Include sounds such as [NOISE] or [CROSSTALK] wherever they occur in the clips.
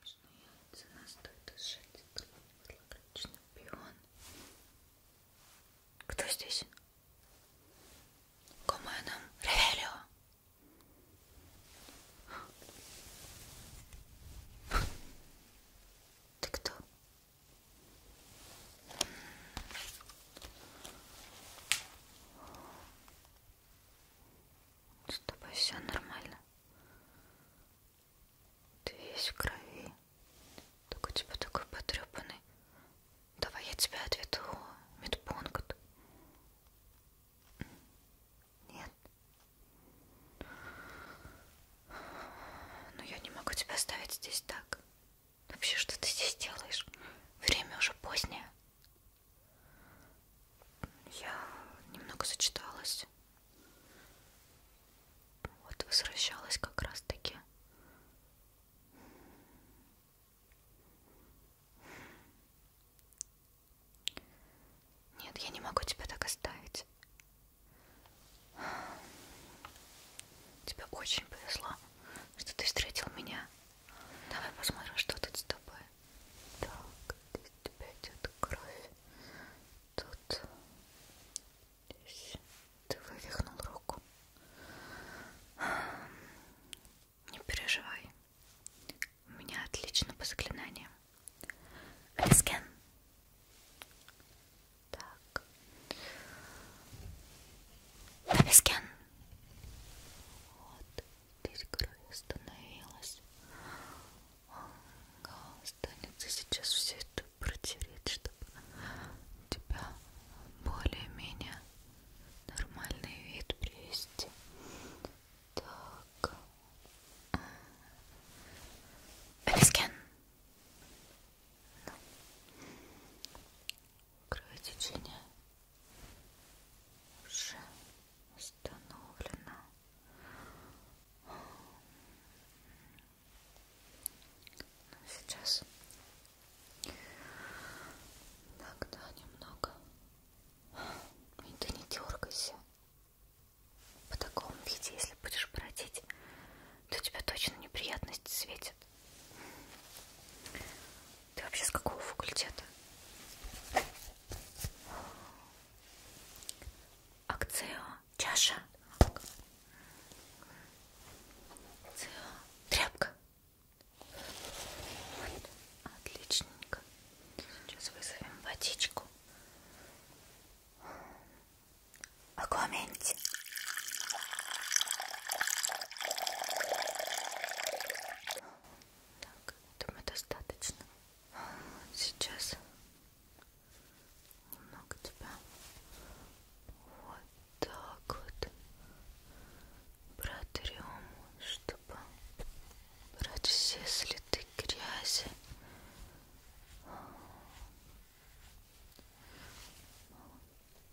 Можно яйца настоит из шатика, вылагаличный пион. Кто здесь? Коменом Ревелио. Ты кто? С тобой все нормально. Ты весь в крови. Только у типа тебя такой потрепанный. Давай я тебя отведу в медпункт. Нет. Но ну, я не могу тебя оставить здесь так. Вообще, что ты здесь делаешь? Время уже позднее. Я немного зачиталась. Вот возвращалась как раз-таки. Нет, я не могу тебя так оставить. Тебе очень повезло, что ты встретил меня. Давай посмотрим, что тут с тобой. Так, здесь у тебя идет кровь. Тут здесь ты вывихнул руку. Не переживай. У меня отлично по заклинаниям. Рискен. Так. Рискен. Вот здесь кровь остановилась. Останется сейчас все это протереть, чтобы у тебя более-менее нормальный вид привести. Так. Элискен кровотечение уже установлено. Ну, сейчас тогда немного. И ты не дергайся. В таком виде, если будешь бродить, то у тебя точно неприятности светит. Ты вообще с какого факультета? Акцио. Чаша. Акцио. Тряпка. Отличненько. Сейчас вызовем водичку. Акваменть. Так, думаю, достаточно. Сейчас немного тебя вот так вот протрем, чтобы брать все следы грязи.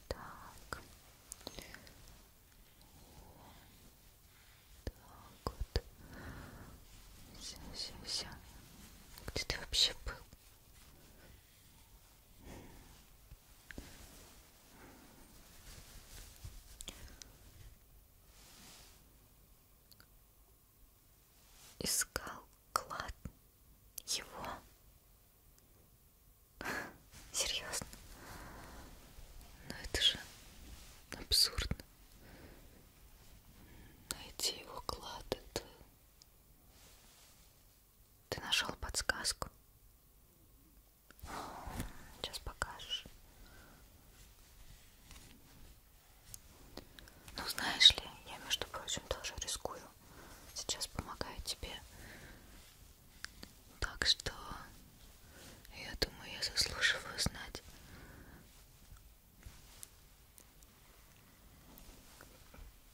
Так, так вот. Все, все, все. Где ты вообще был? Искал клад его. [LAUGHS] Серьезно? Но ну, это же абсурдно. Найти его клад это... Ты нашел подсказку? Сейчас покажешь. Ну, знаешь ли, я, между прочим, тоже рискую сейчас помогаю тебе. Так что я думаю, я заслуживаю знать.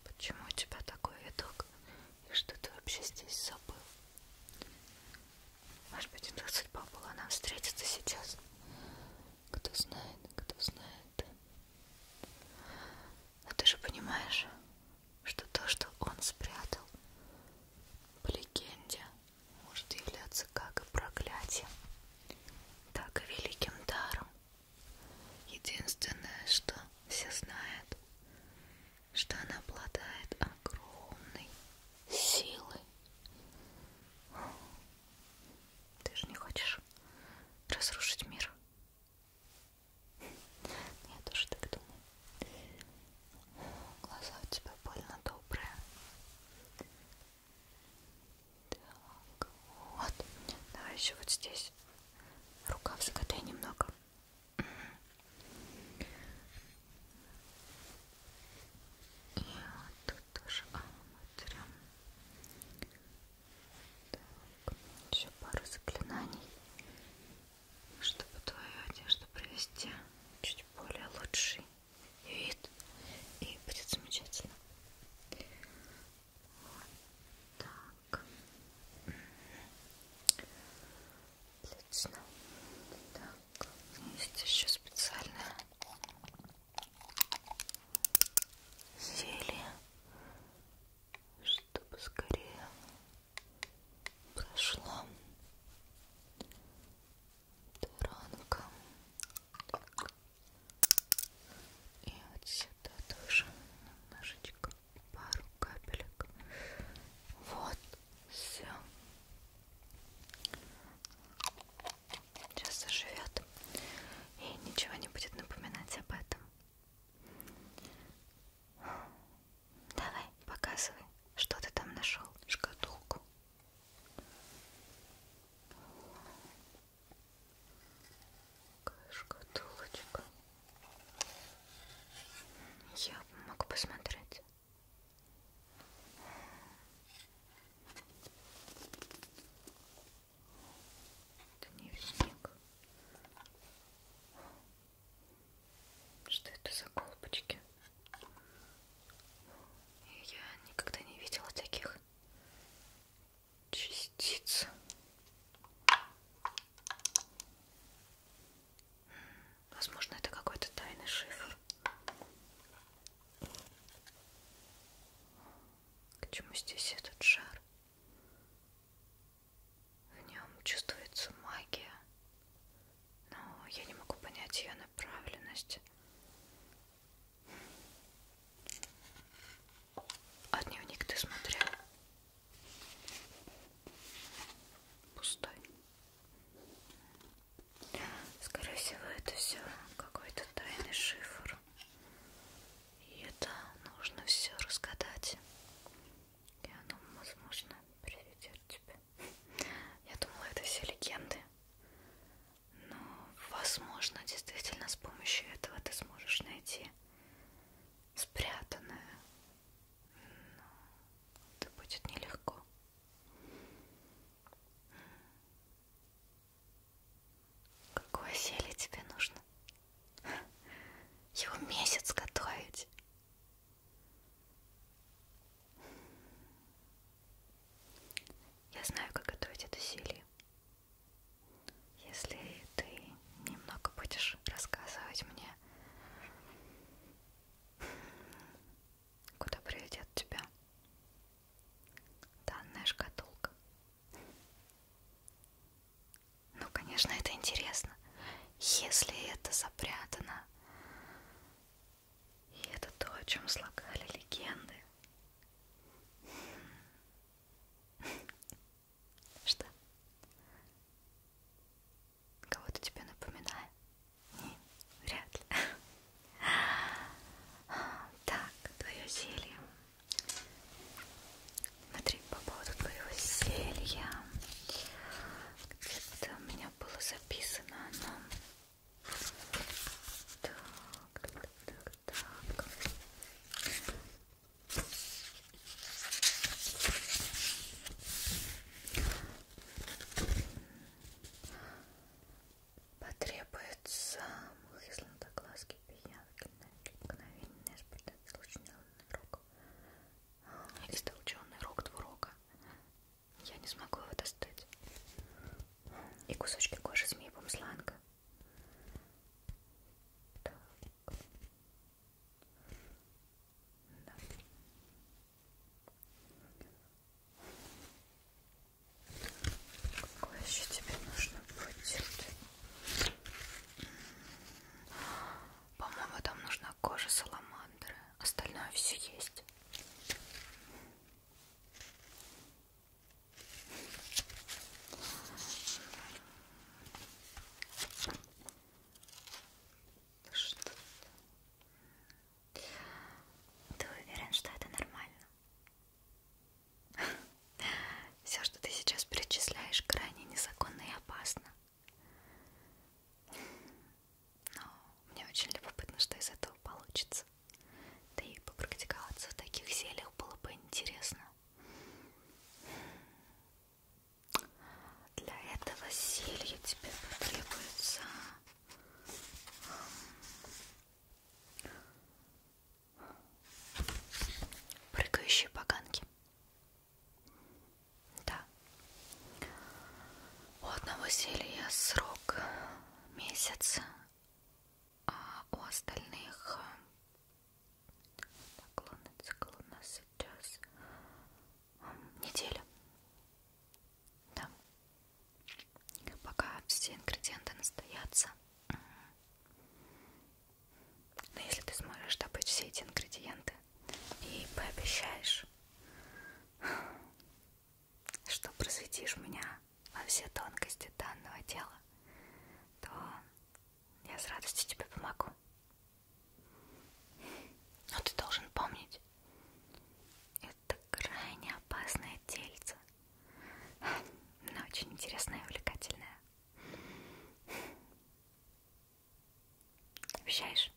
Почему у тебя такой видок? И что ты вообще здесь забыл? Может быть, это судьба была нам встретиться сейчас. Кто знает, кто знает. А ты же понимаешь, что то, что он спрятал, по легенде, может являться как и проклятием, так и великим даром. Единственное, что все знают, что она обладает огромной силой. Ты же не хочешь разрушить мир? Я тоже так думаю. Глаза у тебя больно добрые. Так, вот. Давай еще вот здесь. Рукав закатай немного. И вот тут тоже. А, вот прям. Так, еще пару заклинаний, чтобы твою одежду привести чуть более лучший вид. И будет замечательно. Вот так. Отлично. Так, есть еще специальная зелье, чтобы скорее прошла таранка. И вот сюда тоже немножечко пару капелек. Вот все сейчас заживет и ничего не будет напоминать об этом. Давай, показывай, что ты там нашел, шкатулку. Шкатулочка. Я могу посмотреть. Дневник. Что это за колбочки? Я никогда не видела таких частиц. Возможно, это какой-то тайный шифр. К чему здесь этот шар? В нем чувствуется магия, но я не могу понять ее направленность. А дневник ты смотрел? Пустой. Скорее всего, это все какой-то тайный шифр. И это нужно все разгадать. И оно, возможно, приведет тебя. Я думала, это все легенды. Но, возможно, действительно с помощью этого ты сможешь найти спрятанное. Но это будет нелегко. Какое зелье тебе нужно? Его месяц готовить. Я знаю, как готовить это зелье. Если ты немного будешь рассказывать мне куда приведет тебя данная шкатулка. Ну, конечно, это интересно. Если это запрятано, и это то, о чем слагали легенды. Хм. Что? Кого-то тебе напоминает? Вряд ли. Так, твое зелье. Смотри, по поводу твоего зелья. Где-то у меня было записано оно. Так, так, так, так. Потребуется высланта глазки пиявки на мгновение испытать случайный рог. Истолченный а, рог двурока. Я не смогу его достать. И кусочки кожи змеи бумсланга. Так. Да. Какой еще тебе нужно будет? По-моему, там нужна кожа саламандры. Остальное все есть. Что -то... Ты уверен, что это нормально? [LAUGHS] Все, что ты сейчас перечисляешь, крайне незаконно и опасно. Но мне очень любопытно, что из этого получится. Да и попрактиковаться в таких зельях было бы интересно. Для этого зелья тебе потребуется прыгающие поганки. Да. У одного зелья срок месяц, а у остальных так, лунный цикл у нас сейчас неделя. Да. Пока все ингредиенты настоятся. Но если ты сможешь добыть все эти ингредиенты и пообещаешь, что просветишь меня во все тонкости данного дела, то я с радостью тебе помогу. Но ты должен помнить, это крайне опасное тельце, но очень интересное и увлекательное. Обещаешь?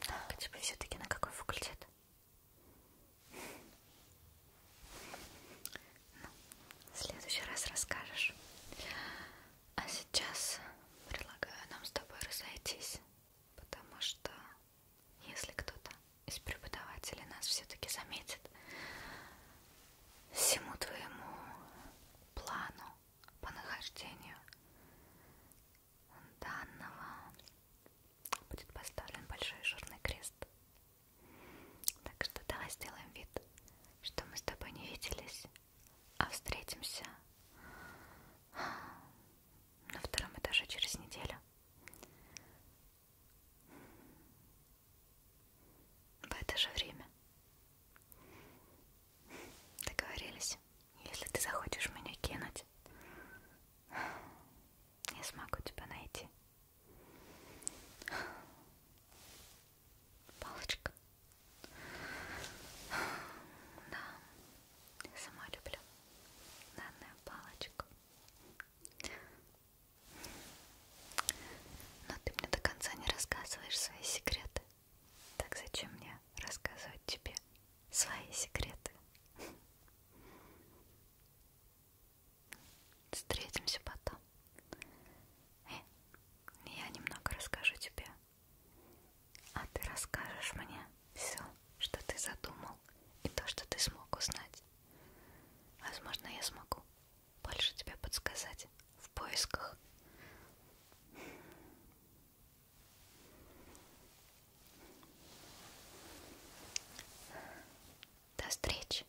Так, а тебе все-таки на какой факультет? Ну, в следующий раз расскажешь. А сейчас предлагаю нам с тобой разойтись, потому что если кто-то из преподавателей нас все-таки заметит, всему твоему плану по нахождению данного будет поставлен большой жирный крест. Так что давай сделаем вид, что мы с тобой не виделись а встретимся на втором этаже через неделю. В это же время. Договорились, если ты захочешь меня кинуть, я смогу тебя найти. Палочка. Да, я сама люблю данную палочку. Но ты мне до конца не рассказываешь свои секреты. Так зачем мне рассказывать тебе свои секреты? Встретимся потом. И э, я немного расскажу тебе. А ты расскажешь мне все, что ты задумал и то, что ты смог узнать. Возможно, я смогу больше тебе подсказать в поисках. До встречи.